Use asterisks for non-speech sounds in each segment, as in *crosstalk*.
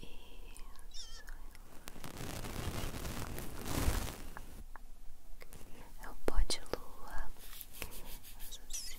Isso. É o pó de lua. Faz assim.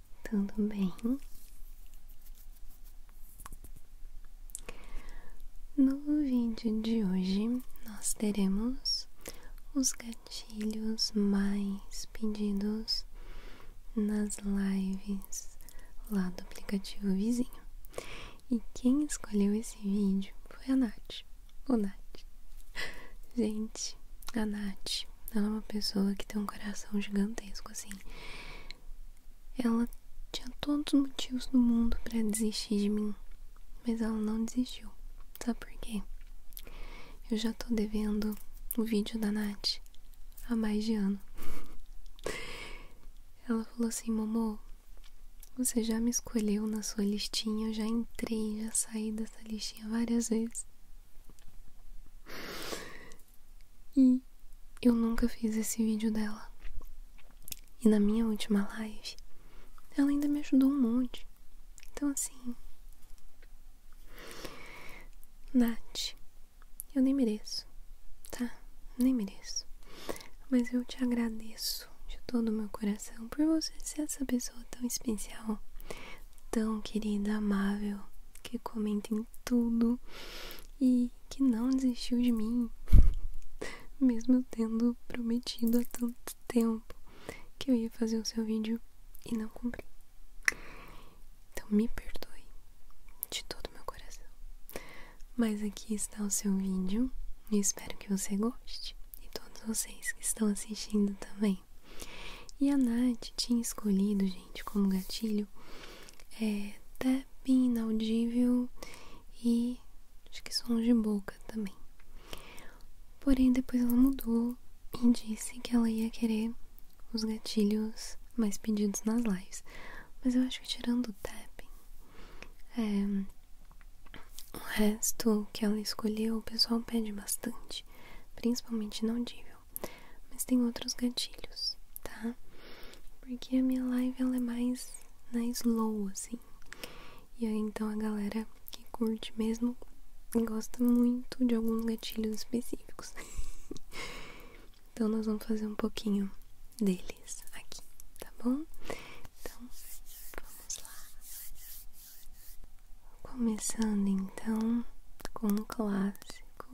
Tudo bem? No vídeo de hoje, nós teremos os gatilhos mais pedidos nas lives lá do aplicativo vizinho. E quem escolheu esse vídeo foi a Nath. O Nath. *laughs* Gente, a Nath ela é uma pessoa que tem um coração gigantesco, assim. Ela tinha todos os motivos do mundo para desistir de mim, mas ela não desistiu. Sabe por quê? Eu já tô devendo o vídeo da Nath há mais de ano. *laughs* ela falou assim: Momô, você já me escolheu na sua listinha, eu já entrei, já saí dessa listinha várias vezes. E eu nunca fiz esse vídeo dela. E na minha última live, ela ainda me ajudou um monte. Então, assim. Nath, eu nem mereço, tá? Nem mereço. Mas eu te agradeço de todo o meu coração por você ser essa pessoa tão especial tão querida, amável, que comenta em tudo e que não desistiu de mim, *laughs* mesmo tendo prometido há tanto tempo que eu ia fazer o seu vídeo e não cumpri. Então me perdoe de todo meu coração. Mas aqui está o seu vídeo e espero que você goste e todos vocês que estão assistindo também. E a Nath tinha escolhido, gente, como gatilho é, tap inaudível e acho que sons de boca também. Porém, depois ela mudou e disse que ela ia querer os gatilhos mais pedidos nas lives. Mas eu acho que tirando o tapping, é, o resto que ela escolheu, o pessoal pede bastante, principalmente inaudível mas tem outros gatilhos, tá? Porque a minha live ela é mais na slow, assim. E aí então a galera que curte mesmo gosta muito de alguns gatilhos específicos. *laughs* então nós vamos fazer um pouquinho deles aqui, tá bom? Então, vamos lá. Começando então com um clássico,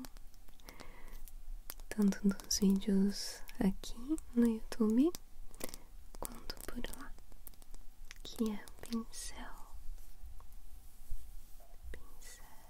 tanto dos vídeos aqui no YouTube quanto por lá, que é o pincel. Pincel.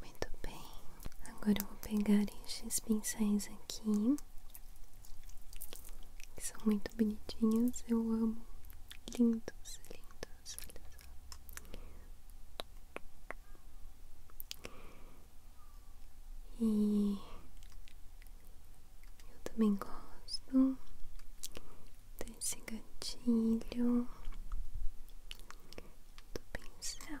Muito bem, agora eu vou pegar estes pincéis aqui, que são muito bonitinhos, eu amo, lindos, lindos, olha só. E eu também gosto desse gatilho do pincel.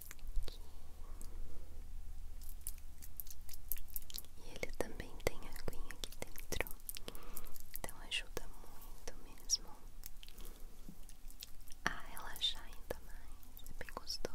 E ele também tem aguinha aqui dentro, então ajuda muito mesmo a relaxar ainda mais, é bem gostoso.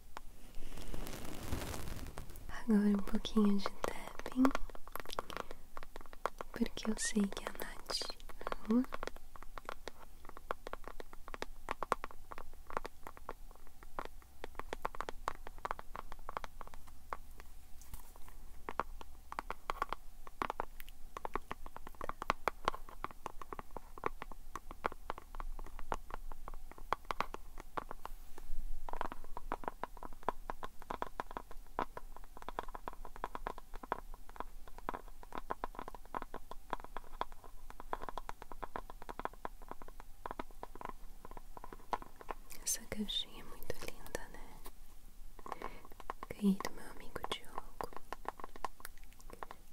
Agora um pouquinho de tapping, porque eu sei que a Nath ama. Tá. Essa caixinha é muito linda, né? Ganhei do meu amigo Diogo.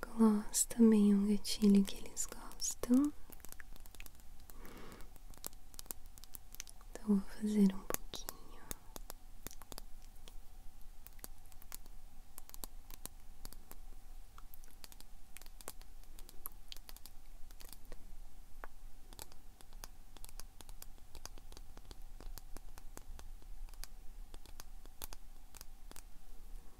Gloss também é um gatilho que eles gostam. Então vou fazer um pouquinho.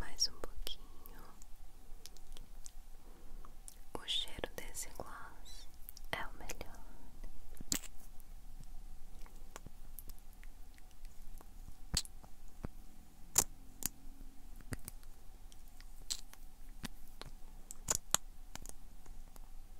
mais um pouquinho. O cheiro desse gloss é o melhor.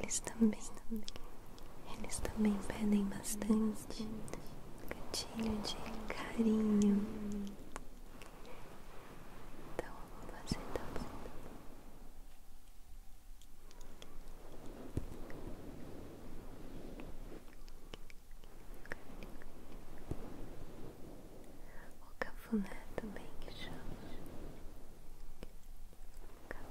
Eles também, eles também pedem bastante gatilho de carinho. Então eu vou fazer também. Tá o cafuné também que chama. carinho,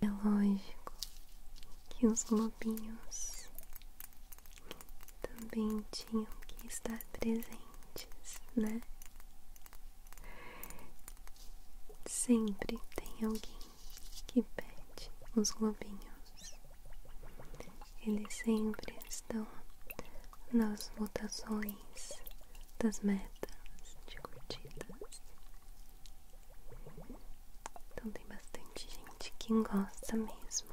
É lógico que os globinhos também tinham que estar presentes, né? Sempre tem alguém que pede os globinhos. Eles sempre estão nas votações das metas de curtidas. Então tem bastante gente que gosta mesmo.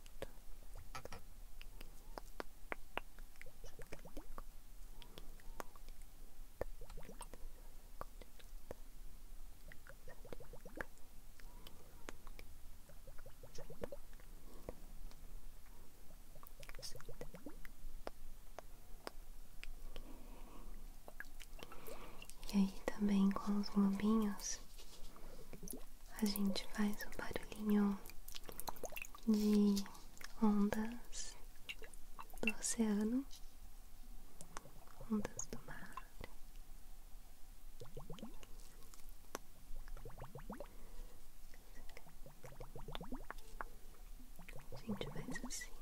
E aí também com os globinhos a gente faz um barulhinho de ondas do oceano, ondas do mar. A gente faz assim,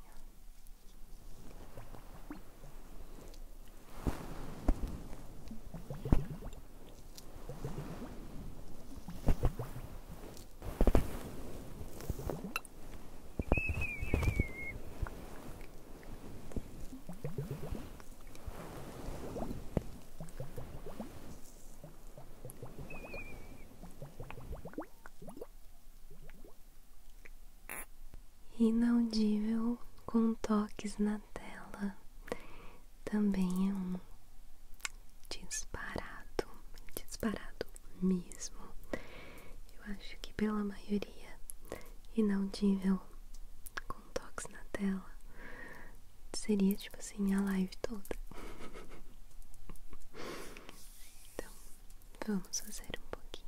Inaudível com toques na a tela também é um disparado, disparado mesmo. Eu acho que pela maioria e não inaudível com toques na tela seria tipo assim a live toda. então, vamos fazer um pouquinho.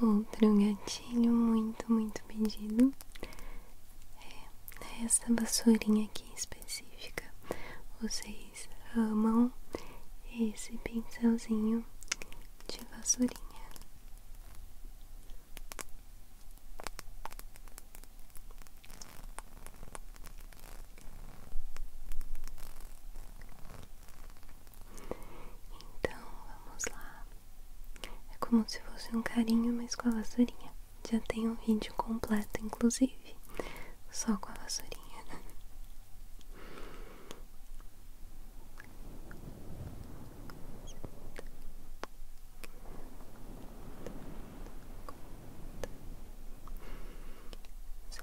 Outro gatilho muito, muito pedido é essa vassourinha aqui específica. Vocês amam esse pincelzinho de vassourinha. Então vamos lá. É como se fosse um carinho, mas com a vassourinha. Já tem um vídeo completo, inclusive, só com a vassourinha. Só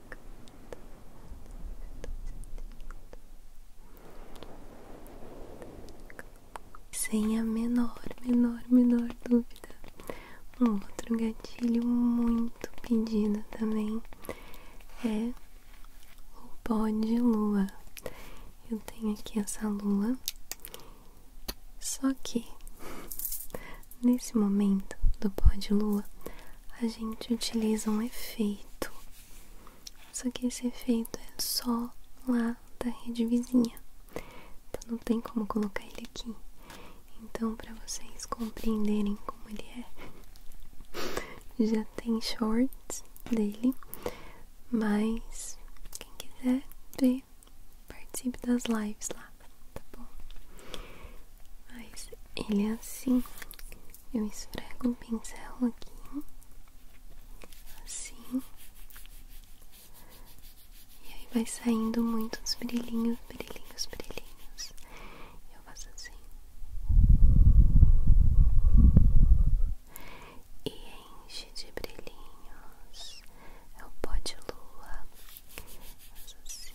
Sem a menor, menor, menor dúvida. Um outro gatilho muito pedido também é o pó de lua. Eu tenho aqui essa lua, só que nesse momento do pó de lua a gente utiliza um efeito só que esse efeito é só lá da rede vizinha. Então não tem como colocar ele aqui. Então para vocês compreenderem como ele é, *laughs* já tem shorts dele, mas quem quiser ver, participe das lives lá, tá bom? Mas ele é assim, eu esfrego o pincel aqui, assim, e aí vai saindo muito os brilhinhos, brilhinhos, brilhinhos. Eu faço assim. E enche de brilhinhos. É o pó de lua. Faço assim.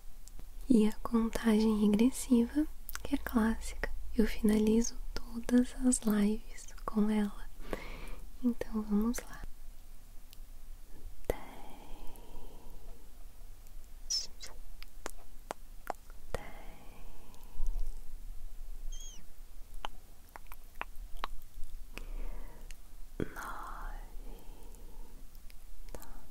E a contagem regressiva, que é clássica, eu finalizo todas as lives com ela. Então vamos lá. Dez, nove, nove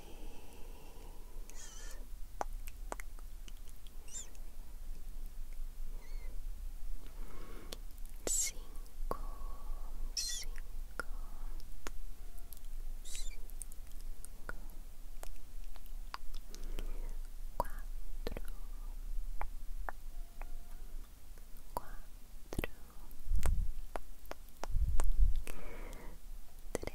cinco, cinco, cinco, quatro, quatro, três.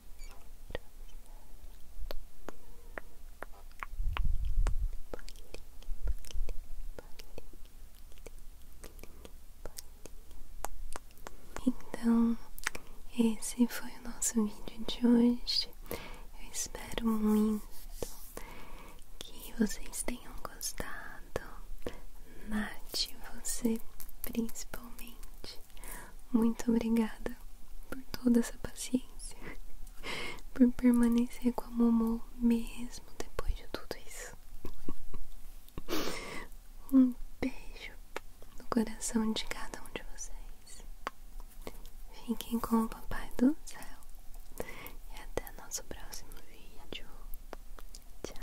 Então, esse foi o nosso vídeo de hoje. Eu espero muito que vocês tenham gostado. Nath, você principalmente muito obrigada por toda essa paciência, *laughs* por permanecer com a Momô mesmo depois de tudo isso. *laughs* Um beijo no coração de cada um de vocês. Fiquem com o Papai do Céu e até nosso próximo vídeo. Tchau!